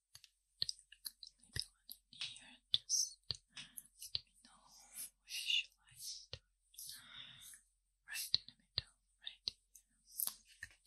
maybe one here, just let me know where should I start. Right in the middle, right here. They look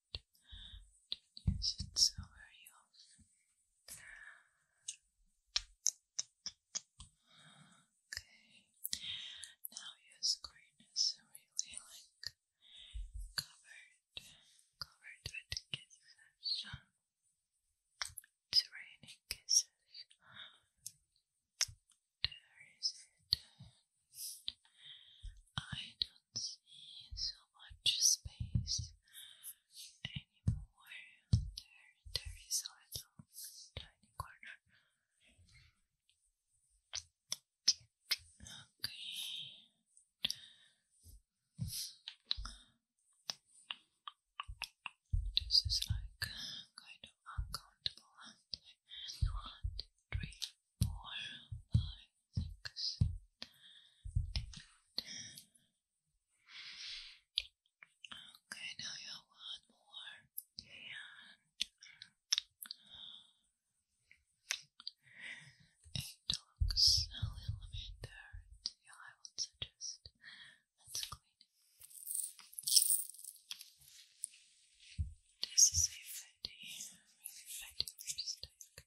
don't it so very often. Okay, now your screen is really like covered, covered with kisses. It's raining kisses. There is it. I don't see so much space anymore. There, there is a little tiny corner. Okay. This is like kind of uncountable. One, two, three, four, five, six, Okay, now you have more. And it looks a little bit dirt. Yeah, I would suggest let's clean it. This is a really fatty lipstick.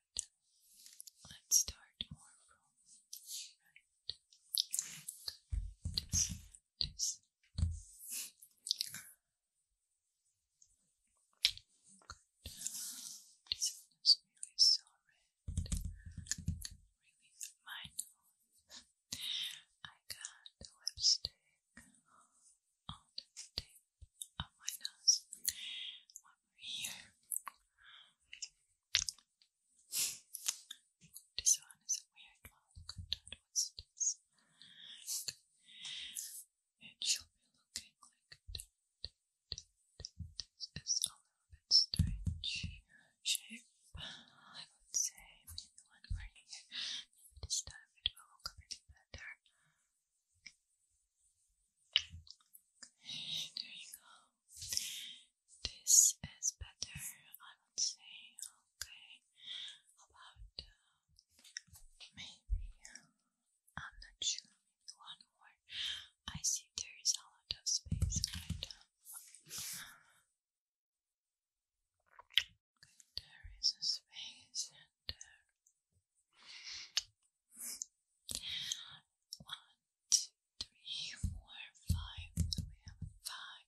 Let's start more from right. This is really sorry. Really mindful. I got lipstick on the table up oh my nose. This one is a weird one. that. What's this? It should be looking like This is a little bit strange shape, I would say. Maybe one more here. this time it will look a bit better. There you go. This is better, I would say. Okay. About uh, maybe uh, I'm not sure. one more. I see there is a lot of space there is a space uh, one, two, three, four, five. we have five,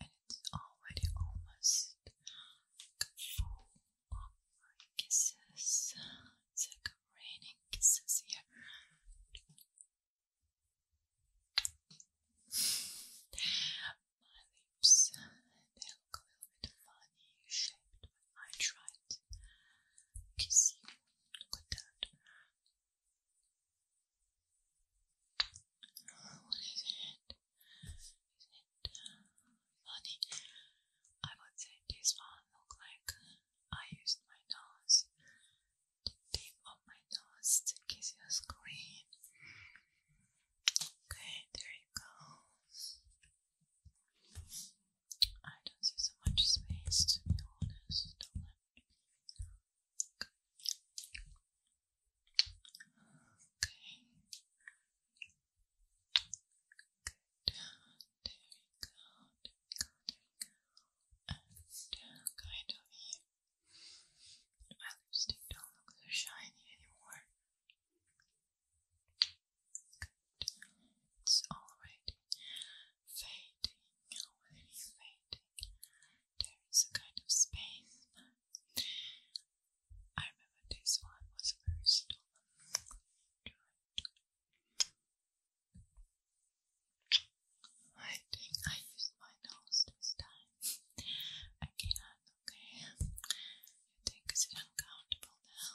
and it's already almost full of kisses. It's like raining kisses here. My lips, a little bit funny shaped I tried. You can see, look at that. what is it? Is it funny? I would say this one look like I used my nose, the tip of my nose to kiss your screen. Okay, there you go. I don't see so much space to be honest. Don't let Okay. okay. Good. There we go. There we go. And uh, kind of here. My lipstick don't look so shiny anymore. It's already fading away, fading. There is a kind of space. I remember this one was very I think I used my nose this time. Again, okay. You think it's uncountable now?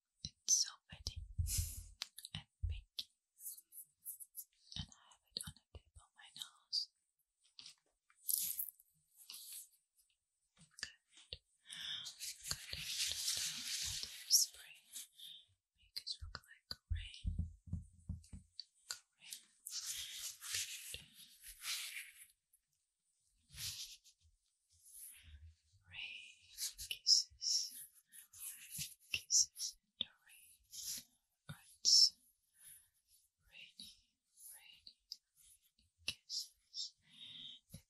It's so pretty and pink, and I have it on the tip of my nose. Good. Good. Just spray make it look like rain. Rain kisses, kisses in the rain. It's rainy, rainy, kisses.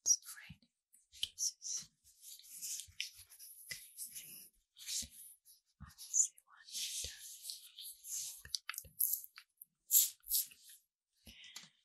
It's raining kisses.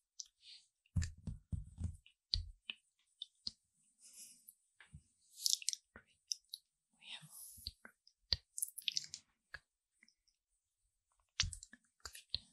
We have already great. Good. Good. Let's put a couple.